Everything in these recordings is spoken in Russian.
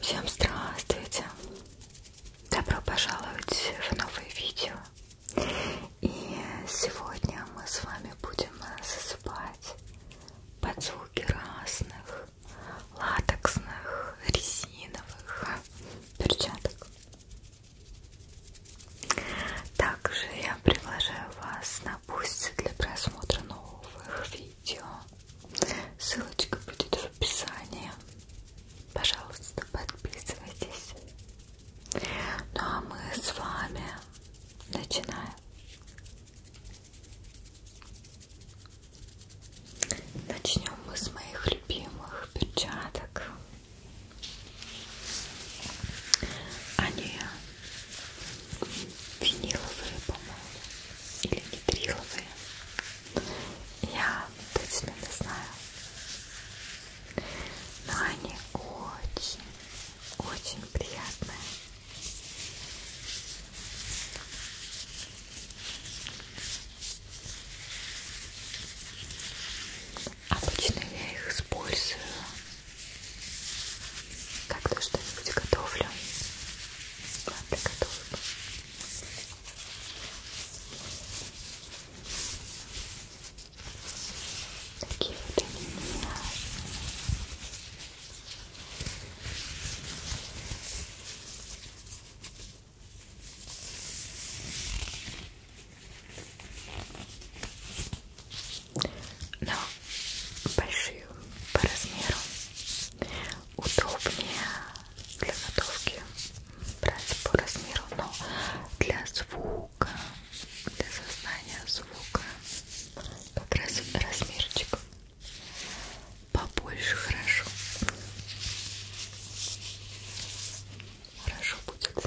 Всем здравствуйте! Добро пожаловать в новое видео. И сегодня мы с вами будем засыпать под звуки разных латексных, резиновых перчаток. Также я приглашаю вас на пусть для просмотра новых видео. Ссылочка будет в описании. Пожалуйста, подписывайтесь. Ну а мы с вами начинаем. Начнем мы с моих любимых перчаток. Они виниловые, по-моему, или нитриловые. Я точно не знаю. Но они очень, очень приятные. Обычно я их использую, когда что-нибудь готовлю. Ладно, готовлю. Такие вот они у меня но большую по размеру удобнее для готовки брать по размеру, но для звука, для создания звука как раз размерчик побольше хорошо хорошо будет. Хорошо.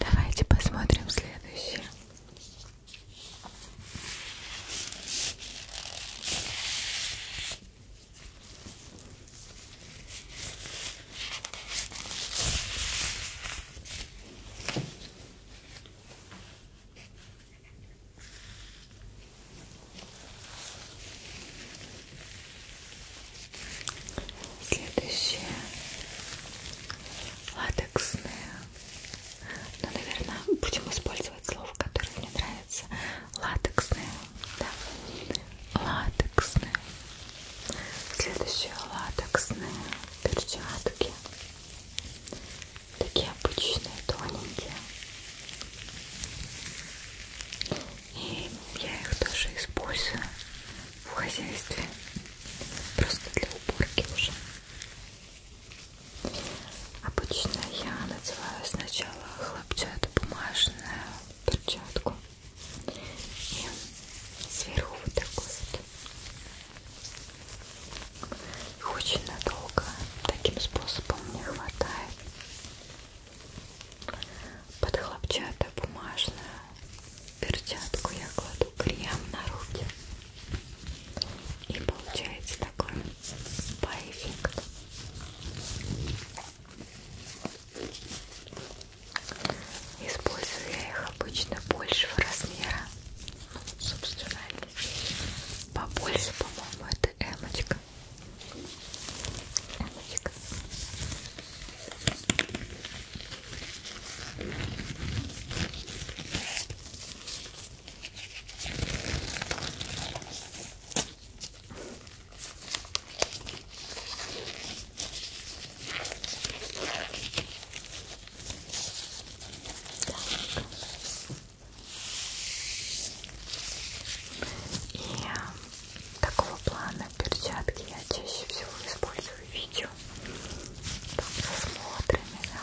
Давайте посмотрим следующее. Следующее латексное. Ну, наверное, будем использовать слово, которое мне нравится. Латексное. Да латексные. Следующие латексные перчатки. Такие обычные, тоненькие. И я их тоже использую в хозяйстве. Просто для уборки уже. Обычно я надеваю сначала хлопчатую бумажную перчатку, и сверху вот такой вот. Очень надолго таким способом не хватает. Под хлопчатую бумажную перчатку я кладу крем на руки. И получается такой спа-эффект. Использую я их обычно большего размера. Ну, собственно, побольше, по-моему, это эмочка. эмочка. И такого плана перчатки я чаще всего использую в видео там со смотрами, да.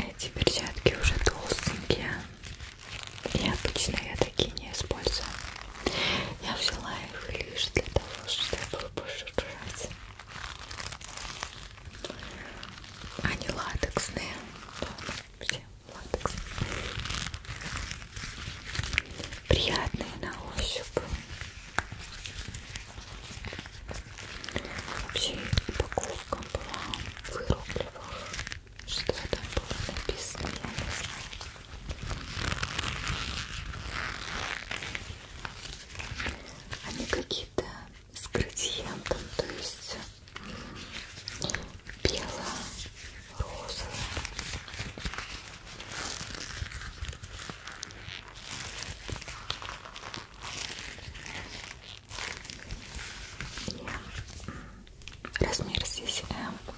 Эти перчатки уже толстенькие, и обычно я такие не использую. Я взяла их лишь для того, чтобы пожирать. Они латексные. Все латексные. Приятные на ощупь. Вообще упаковка была в рублевых. Что там было написано, я не знаю. Они какие-то с градиентом, то есть белая, розовая. Я размер здесь М, э,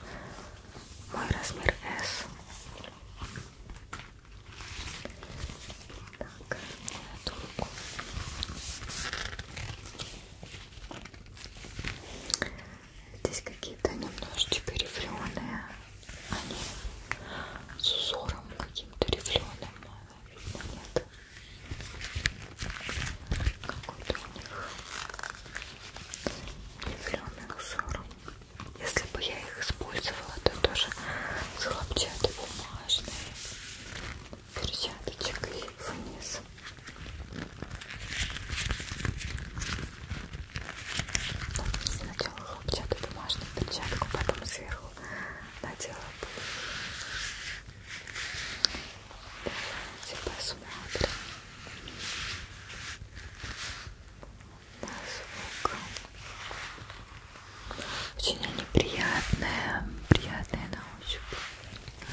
мой размер S. Так, эту руку. Здесь какие-то немножечко рифленые, они с узором каким-то рифленым, видно нет какой-то у них зеленый узор. Если бы я их использовала, то тоже с хлопчатой бумажной перчаточкой вниз. Ну, сначала хлопчатую бумажную перчатку, потом сверху надела Давайте посмотрим на звук. Очень они приятные, приятные на ощупь. Ой,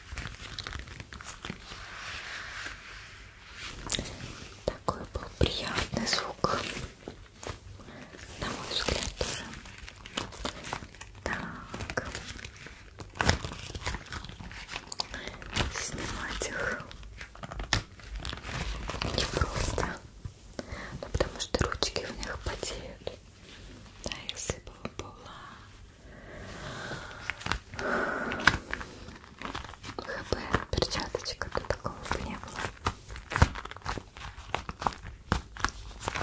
Такой был приятный звук, на мой взгляд тоже. Так, снимать их не просто, ну, потому что ручки в них потеют. Да, если бы была ХБ перчаточка, то такого бы не было. Так,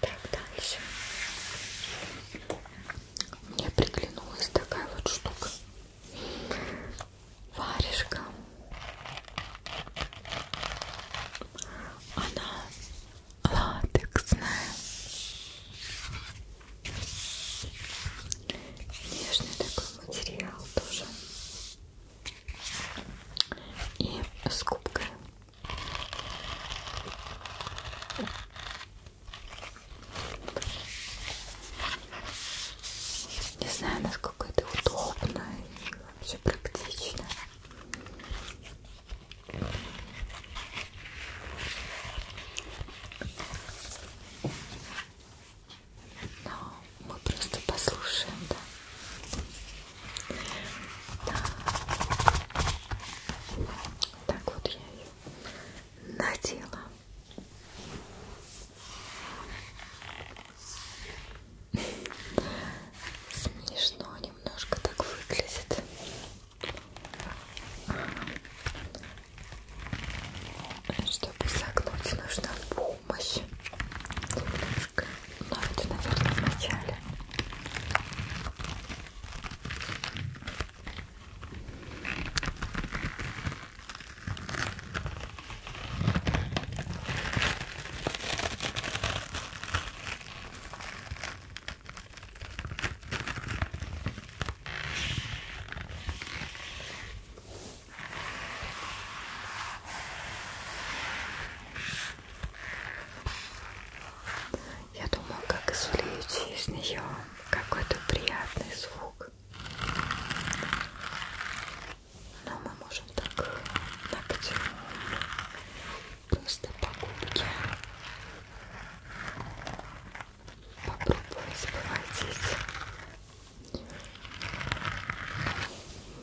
Так, дальше. Мне приглянулась такая вот штука. Варежка. Она латексная. Нежный такой материал тоже. И с губкой. Не знаю, насколько это удобно и вообще практично. Но мы просто послушаем, да. да. Так вот я ее надела. Смешно немножко так выглядит. Чтобы согнуть, нужна помощь. Немножко. Но это, наверное, в начале. Я думаю, как извлечь из нее какой-то приятный звук. Но мы можем так ногтем просто покупки попробовать поводить.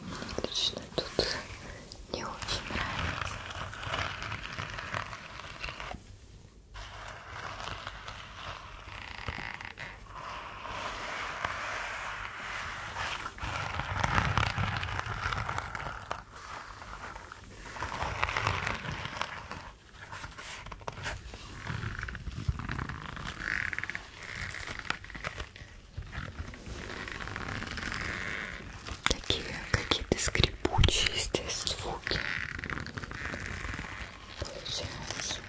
Мне лично тут не очень нравится. Ой, Такие какие-то скрипучие здесь звуки получаются.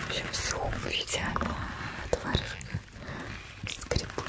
В общем, в сухом виде она творожек скрипучая.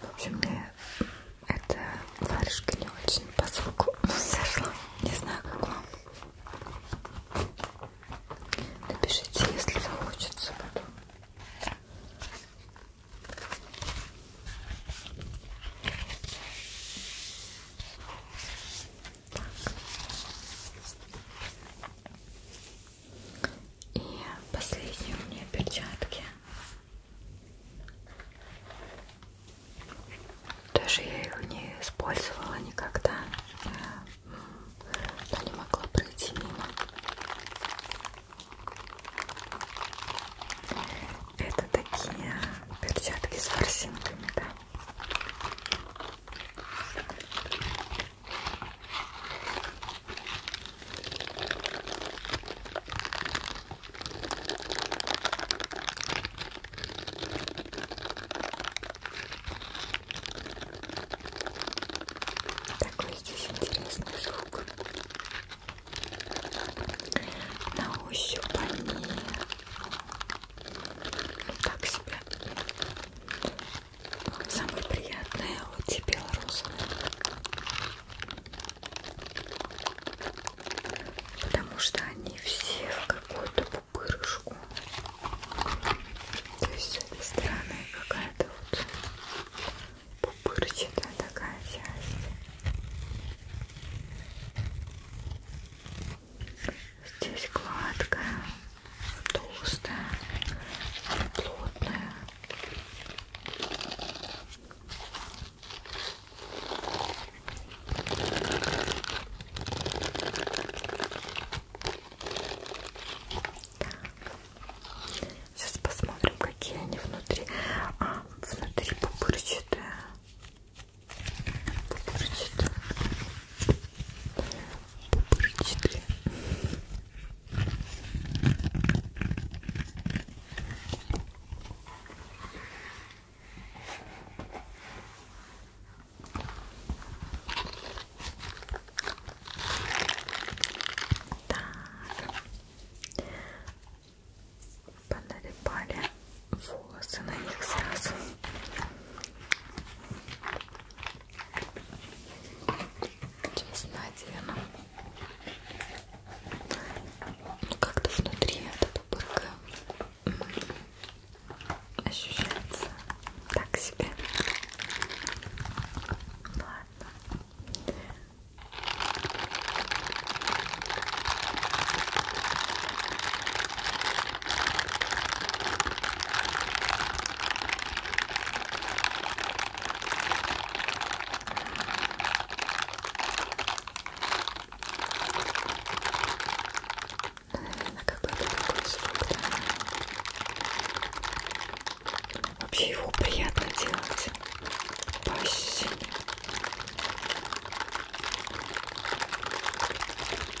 В общем, мне эта варежка не очень по звуку зашла. Не знаю, как вам. Напишите, если захочется потом. Так. И последние у меня перчатки. Даже я их не использовала никогда. Я не могла пройти мимо. Это такие перчатки с ворсинками, да. Такой здесь интересный звук. На ощупь они так себе Самое приятное вот тебе белорус. Потому что они все в какую-то пупырышку. То есть с этой стороны какая-то вот пупырчатая такая часть. Здесь гладкая толстая, плотная. Сейчас посмотрим, какие они внутри. А, внутри пупырчатые. Пупырчатые. Пупырчатые. Так. Поналипали волосы на них сразу. Честно одену. Ну, как-то внутри эта пупырка ощущается так себе. Ладно. Ну, наверное, как бы это такой звук, да? Вообще его приятно делать по ощущениям.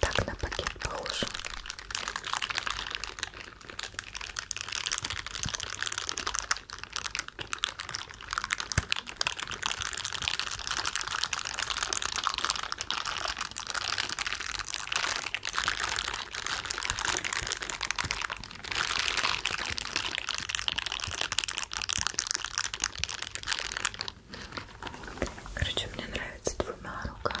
Так на пакет похож. Короче, мне нравится двумя руками.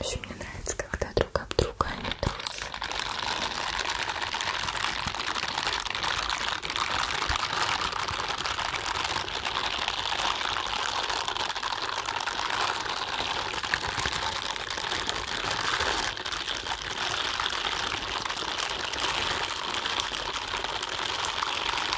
Еще мне нравится, когда друг об друга они а трутся.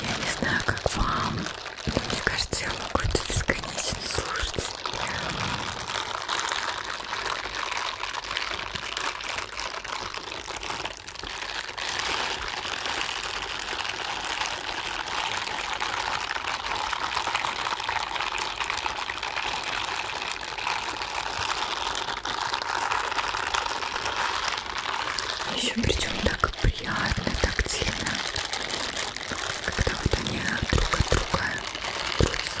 Я не знаю, как вам, но мне кажется, я могу это бесконечно слушать. А Еще причем так приятно, тактильно, когда вот они друг от друга трутся.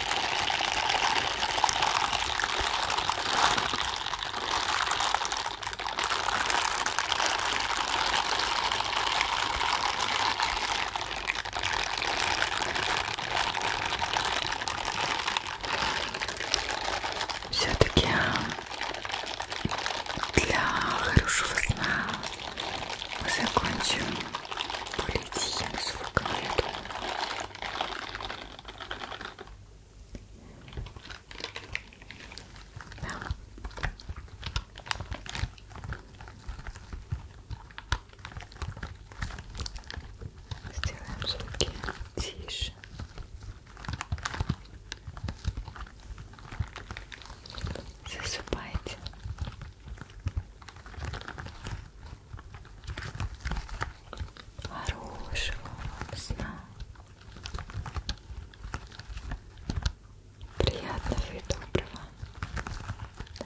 Все-таки э, для хорошего сна мы закончим более тихим звуком, я думаю. Да. Сделаем звуки тише. Засыпайте. Хорошего вам сна. Приятного и доброго. Да.